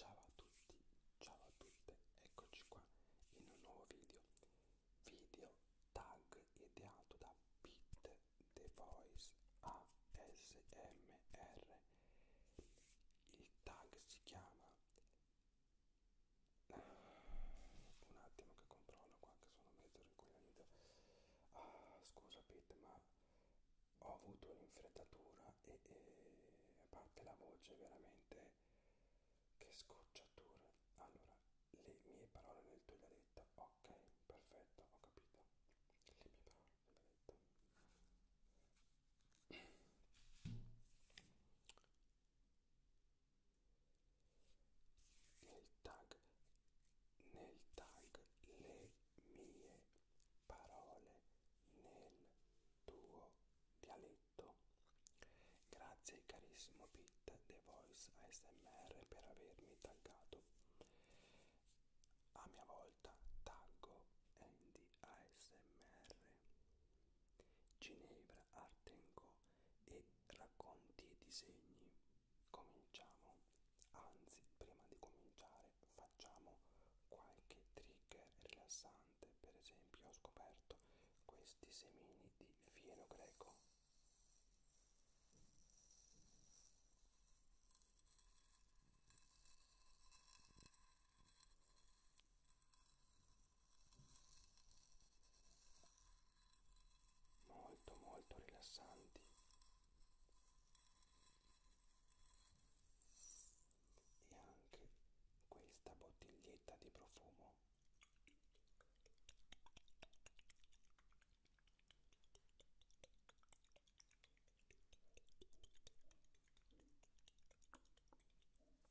Ciao a tutti, ciao a tutte, eccoci qua in un nuovo video, video tag ideato da Pete The Voice ASMR. Il tag si chiama un attimo che controllo qua che sono mezzo rincoglionito ah, scusa Pete ma ho avuto un'infrettatura e, e a parte la voce veramente che scocciatura allora le mie parole nel tuo dialetto ok perfetto ho capito le mie parole nel tuo dialetto nel tag nel tag le mie parole nel tuo dialetto grazie carissimo Pete The Voice ASMR per avermi taggato a mia volta taggo Andy ASMR Ginevra per Artenco e racconti e disegni. Cominciamo, anzi prima di cominciare facciamo qualche trigger rilassante, per esempio ho scoperto questi semini di fieno greco molto molto rilassanti e anche questa bottiglietta di profumo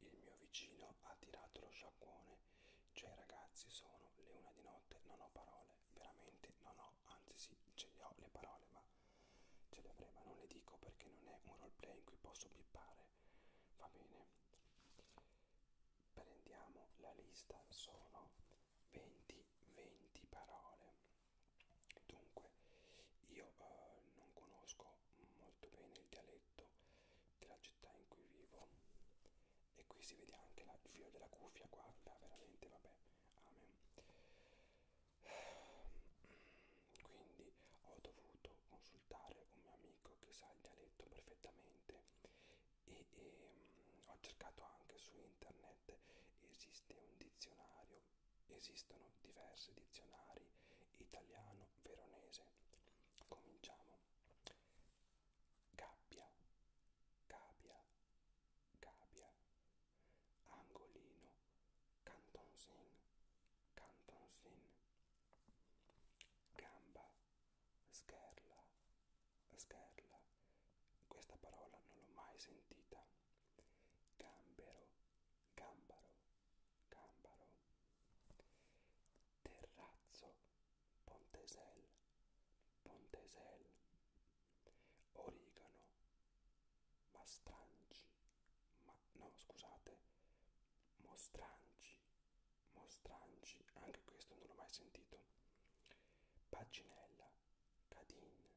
Il mio vicino ha tirato lo sciacquone, cioè ragazzi sono le una di notte, non ho parole, veramente non ho, anzi sì, ce le ho le parole, ma ce le avrei, ma non le dico perché non è un roleplay in cui posso pippare, va bene. Prendiamo la lista, sono 20, 20 parole. Dunque, io eh, non conosco conosco molto bene il dialetto della città in cui vivo e qui si vede anche la, il filo della cuffia guarda veramente vabbè amen quindi ho dovuto consultare un mio amico che sa il dialetto perfettamente e, e mh, mm, ho cercato anche su internet esiste un dizionario esistono diversi dizionari italiano-veronese. Cominciamo. Gabbia, gabbia, gabbia, angolino, cantonsin, cantonsin, gamba, scherla, scherla. Questa parola non l'ho mai sentita. Gambero, gambaro, gambaro, terrazzo, pontesel, pontesel, origano, mastranci, ma no scusate, mostranci, mostranci, anche questo non l'ho mai sentito, paginella, cadin,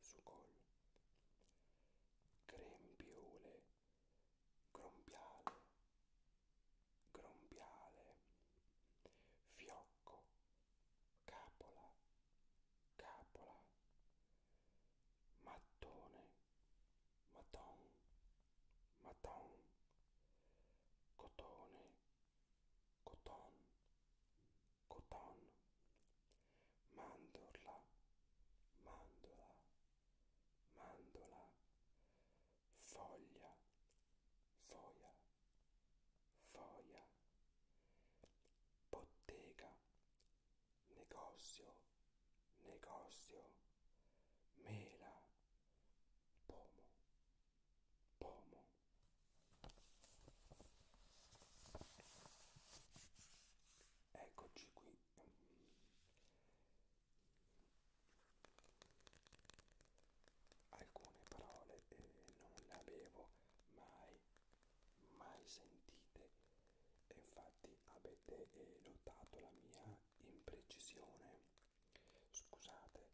Sucol, Grembiule, Grombiale, Grombiale, Fiocco, Capola, Capola, Mattone, Maton, Maton, Cotone, Coton, coton, mandorla, mandola, mandola, foglia, foia, foia, bottega, negozio, negozio, mela, pomo, pomo, Eccoci qui. Alcune parole eh, non le avevo mai, mai sentite. E infatti avete eh, notato la mia imprecisione. Scusate,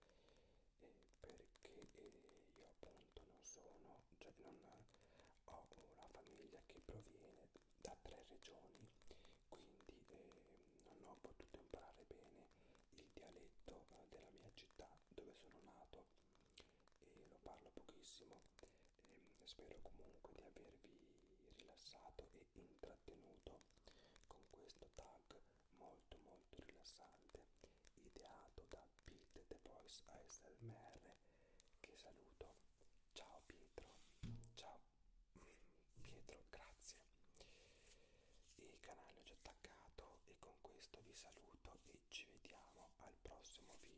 eh, perché eh, io appunto non sono, cioè non ho una famiglia che proviene da tre regioni, quindi eh, non ho potuto imparare bene il dialetto eh, della mia città dove sono nato e lo parlo pochissimo. E ehm, spero comunque di avervi rilassato e intrattenuto con questo tag molto molto molto rilassante ideato da Pete The Voice ASMR che saluto ciao Pietro ciao Pietro grazie il canale ho già attaccato e con questo vi saluto e ci vediamo al prossimo video